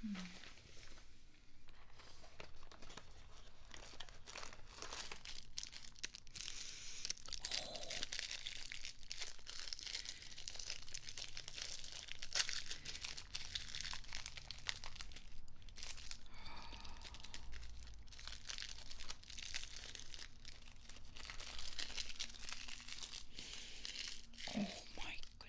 Hmm. Oh. Oh my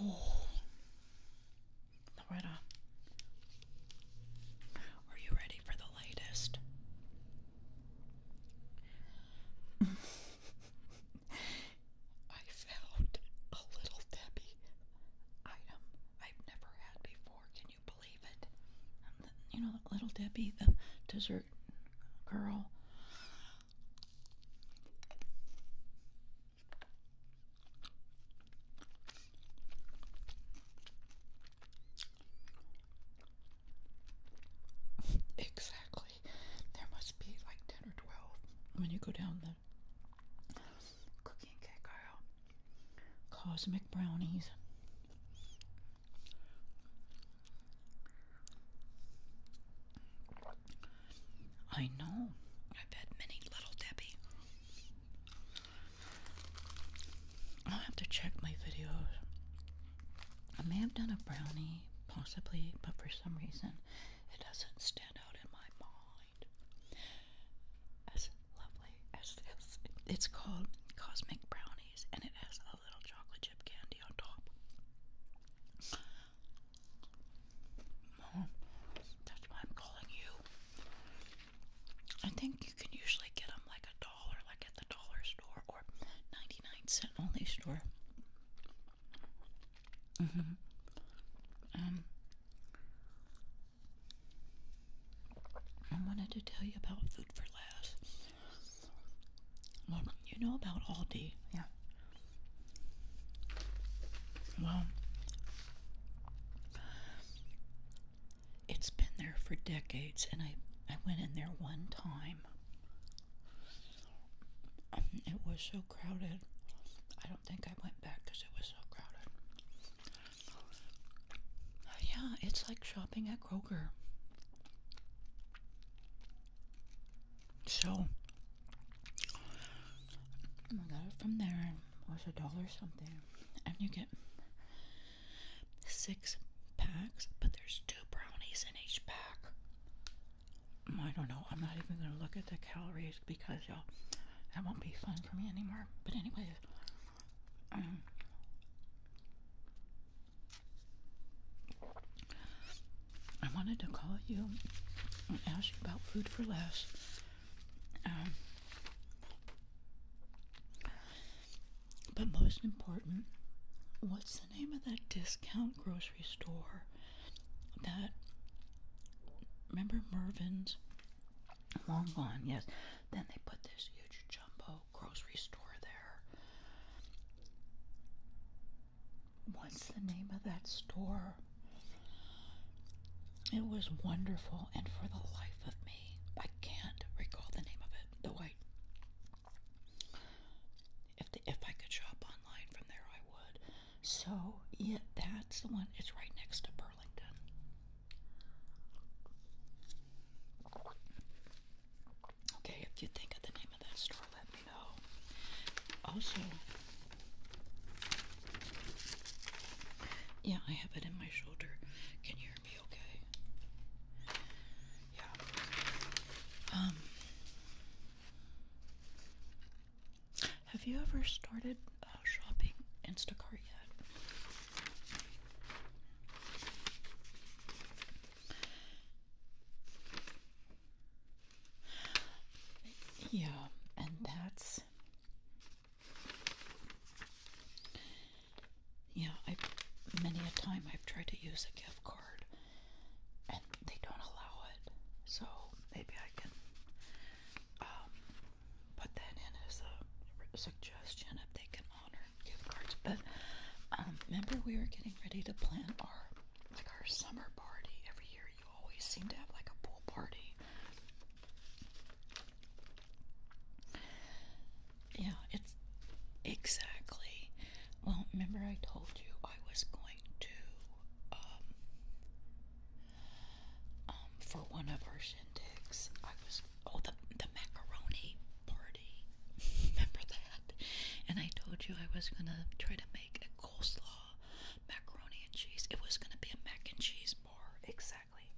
Oh, Loretta, are you ready for the latest? I found a little Debbie item I've never had before. Can you believe it? you know, little Debbie, the dessert girl. Exactly. There must be like 10 or 12 when you go down the cookie and cake aisle. Cosmic brownies. I know. I've had many little Debbie. I'll have to check my videos. I may have done a brownie, possibly, but for some reason it doesn't stand out in my mind. As lovely as this. It's called Cosmic Brownies and it has a little chocolate chip candy on top that's why I'm calling you. I think you can usually get them like a dollar, like at the dollar store or 99 cent only store. Mm-hmm. Um, I wanted to tell you about Food for Less. Well, you know about Aldi, yeah. Well, it's been there for decades, and I I went in there one time. It was so crowded. I don't think I went back because it was so crowded. Yeah, it's like shopping at Kroger. So, I got it from there. It was a dollar something. And you get six packs, but there's two brownies in each pack. Mm, I don't know. I'm not even going to look at the calories because, y'all, that won't be fun for me anymore. But, anyways, um, I wanted to call you and ask you about Food for Less. Um, but most important, what's the name of that discount grocery store that remember Mervin's long gone, yes. Then they put this huge jumbo grocery store there what's the name of that store? It was wonderful, and for the life of me, I can't recall the name of it. The white. if the, if I could shop online from there, I would. So yeah, that's the one. It's right next to Burlington. Okay, if you think of the name of that store, me Also, yeah, I have it in my shoulder. Can you hear okay? Yeah. Um, have you ever started uh, shopping Instacart yet? Yeah, and that's. Yeah, I many a time I've tried to use a gift card and they don't allow it. So maybe I can um, put that in as a suggestion if they can honor gift cards. But um, remember, we were getting ready to plan our like our summer party every year. You always seem to have like a pool party. Yeah, it's exactly. Well, remember I told you I was going to um um for one of our shindigs. I was oh the the macaroni party. remember that? And I told you I was gonna try to make a coleslaw, macaroni and cheese. It was going to be a mac and cheese bar, exactly.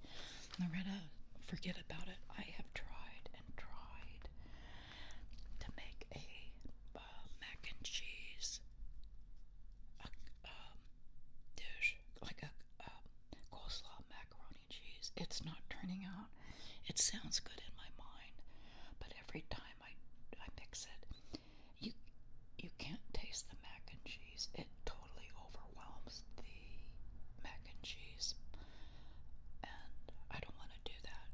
Loretta, forget about it. I have tried and tried to make a uh, mac and cheese um, dish, like a uh, coleslaw, macaroni cheese. It's not turning out. It sounds good in my mind, but every time I I mix it, you you can't taste the mac and cheese. It totally overwhelms the mac and cheese. And I don't want to do that.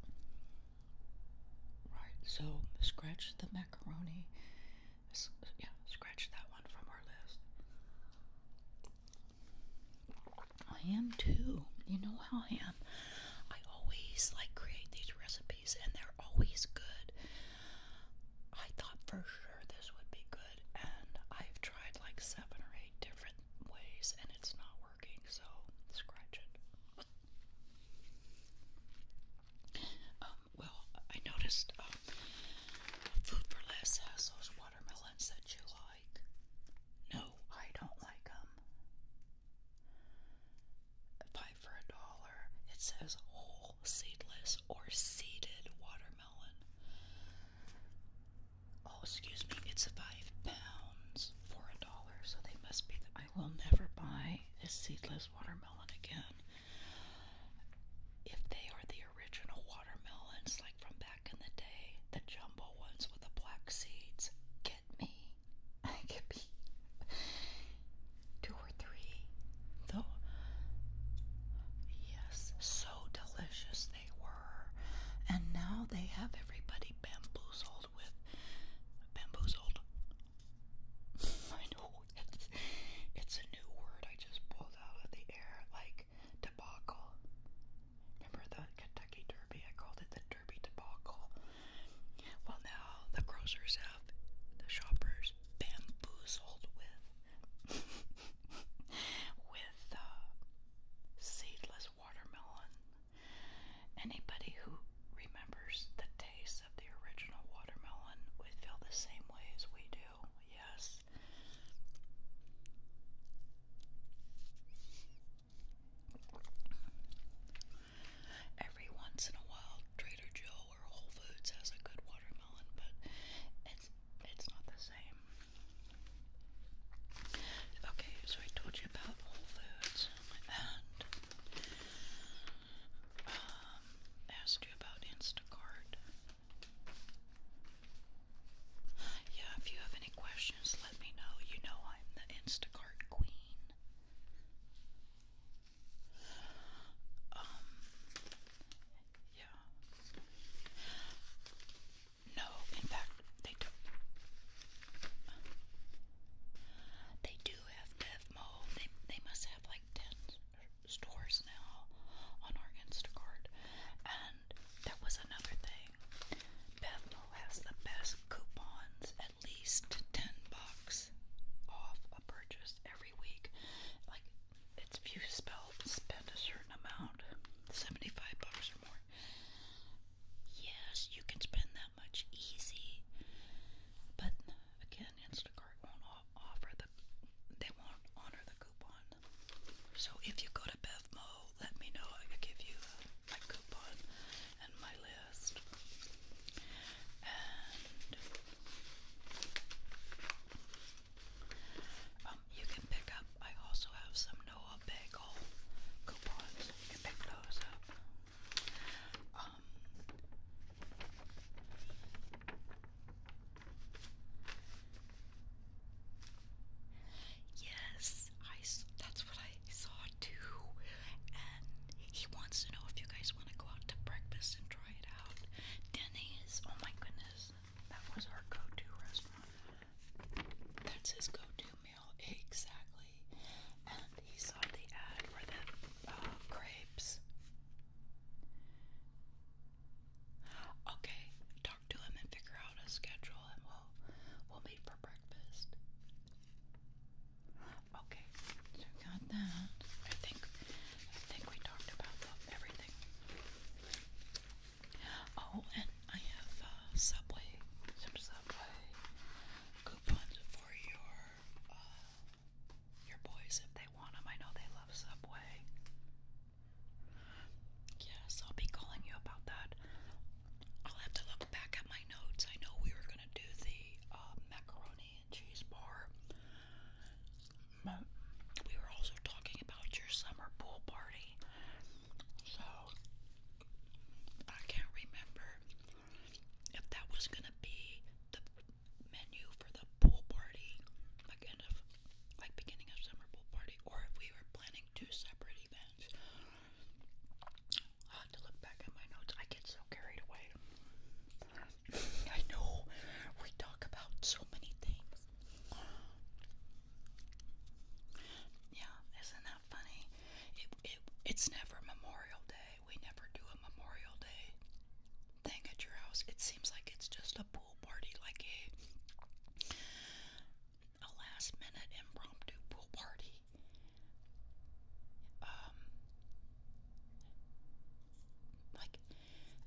Right, so scratch the macaroni. Yeah, scratch that one from our list. I am too. You know how I am. I always like create these recipes and they're always good. I thought for sure this would be good, and I've tried like seven or eight different ways, and it's not working, so scratch it. Um, well, I noticed um, Food for Less has those watermelons that you like. No, I don't like them. Five for a dollar. It says whole seedless or seeded watermelon. Oh, excuse me, it's five pounds for a dollar, so they must be. I will never buy a seedless watermelon again. If they are the original watermelons, like from back in the day, the jumbo ones with the black seeds, me. I could be two or three. Though, yes, so delicious they were. And now they have everybody bamboozled with. Bamboozled. I know, it's, it's a new word I just pulled out of the air, like debacle. Remember the Kentucky Derby? I called it the Derby debacle. Well, now the grocers have the shoppers bamboozled with with uh, seedless watermelon. Anybody who remembers the taste of the original watermelon would feel the same way as we do. Yes. Every once in a while, Trader Joe or Whole Foods has a good watermelon, but it's it's not the same. Okay, so I told you about Whole Foods and um, asked you about Instacart. Yeah, if you have any questions, let me know. You know I'm the Instacart queen. Um, yeah. No, in fact, they don't. They do have DevMo. They they must have like ten stores now on our Instacart, and that was another thing. BevMo has the best coupons at least 10 bucks off a purchase every week. Like, it's if you spell, spend a certain amount, 75 bucks or more. Yes, you can spend that much easy, but again, Instacart won't offer the, they won't honor the coupon. So if you go to BevMo, let me know. I could give you uh, my coupon and my list. And um, you can pick up, I also have some Noah Bagel coupons. You can pick those up. Um, yes, I, that's what I he saw two, and he wants to know if you guys want to go out to breakfast and try it out. Denny's, oh my goodness, that was our go-to restaurant. That's his go-to meal, exactly. And he saw the ad for the crepes. Uh, okay, talk to him and figure out a schedule, and we'll we'll meet for breakfast. Okay, got that. I think I think we talked about everything. Oh, and I have uh, Subway, some Subway coupons for your uh, your boys if they want them. I know they love Subway. Yes, I'll be calling you about that. I'll have to look back at my notes. I know we were gonna do the uh, macaroni cheese bar. we were also talking about your summer pool party. So I can't remember if that was gonna be the menu for the pool party, like end of like beginning of summer pool party, or if we were planning two separate events i to look back at my notes. I get so carried away. I know we talk about so many things. Yeah, isn't that funny? It, it, it's never Memorial Day. We never do a Memorial Day thing at your house. It seems like it's just a pool party, like a a last minute impromptu pool party um, like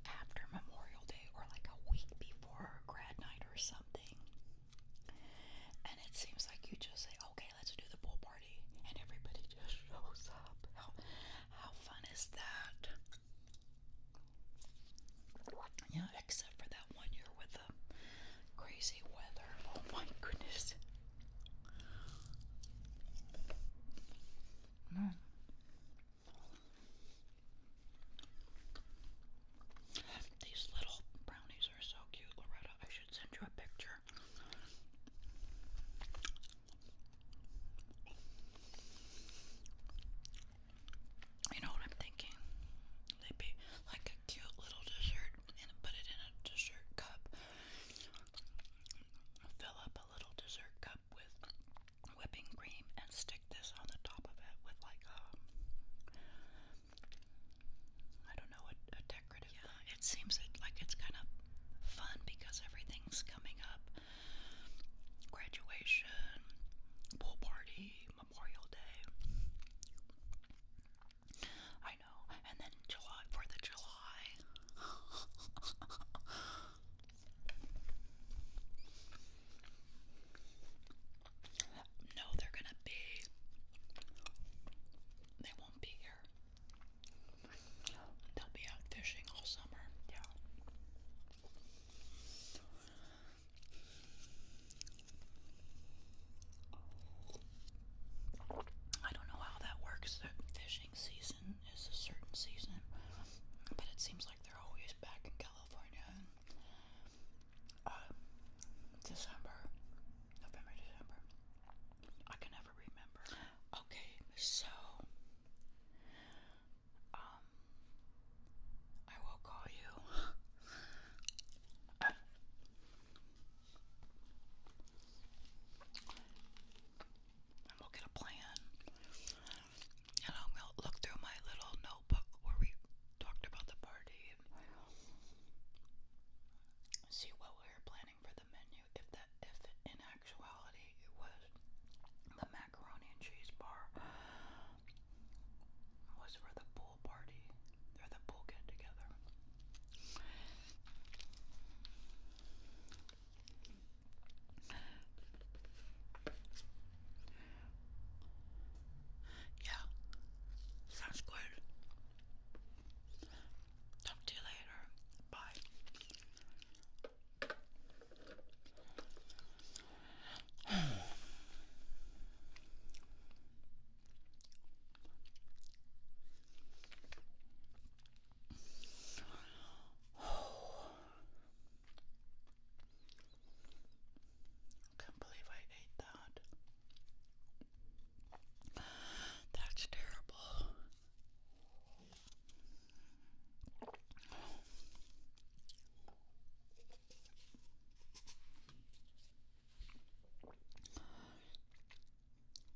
after Memorial Day or like a week before grad night or something. And it seems like you just say, okay, let's do the pool party. And everybody just shows up. How, how fun is that? Yeah, except for that one year with the crazy weather. Oh my goodness. Mm. These little brownies are so cute, Loretta. I should send you a picture. You know what I'm thinking? They'd be like a cute little dessert, and put it in a dessert cup fill up a little dessert cup with whipping cream and stick this on the top of it with like a, um, I don't know, a, decorative. Yeah, it seems like it's kind of fun because everything's coming up. Graduation, pool party, Memorial Day. I And then July for the July. no, they're gonna be. They won't be here. They'll be out fishing all summer. Yeah. I don't know how that works, the fishing season is a certain season, but it seems like they're always back in California. Uh, December, November, December. I can never remember. Okay, so um, I will call you. And we'll get a plan. And I'm going to look through my little notebook where we talked about the party. See what we are planning for the menu. If that, if in actuality it was the macaroni and cheese bar was for the pool party or the pool get together. Yeah, sounds good. Talk to you later. Bye. Oh. I can't believe I ate that. That's terrible. Oh.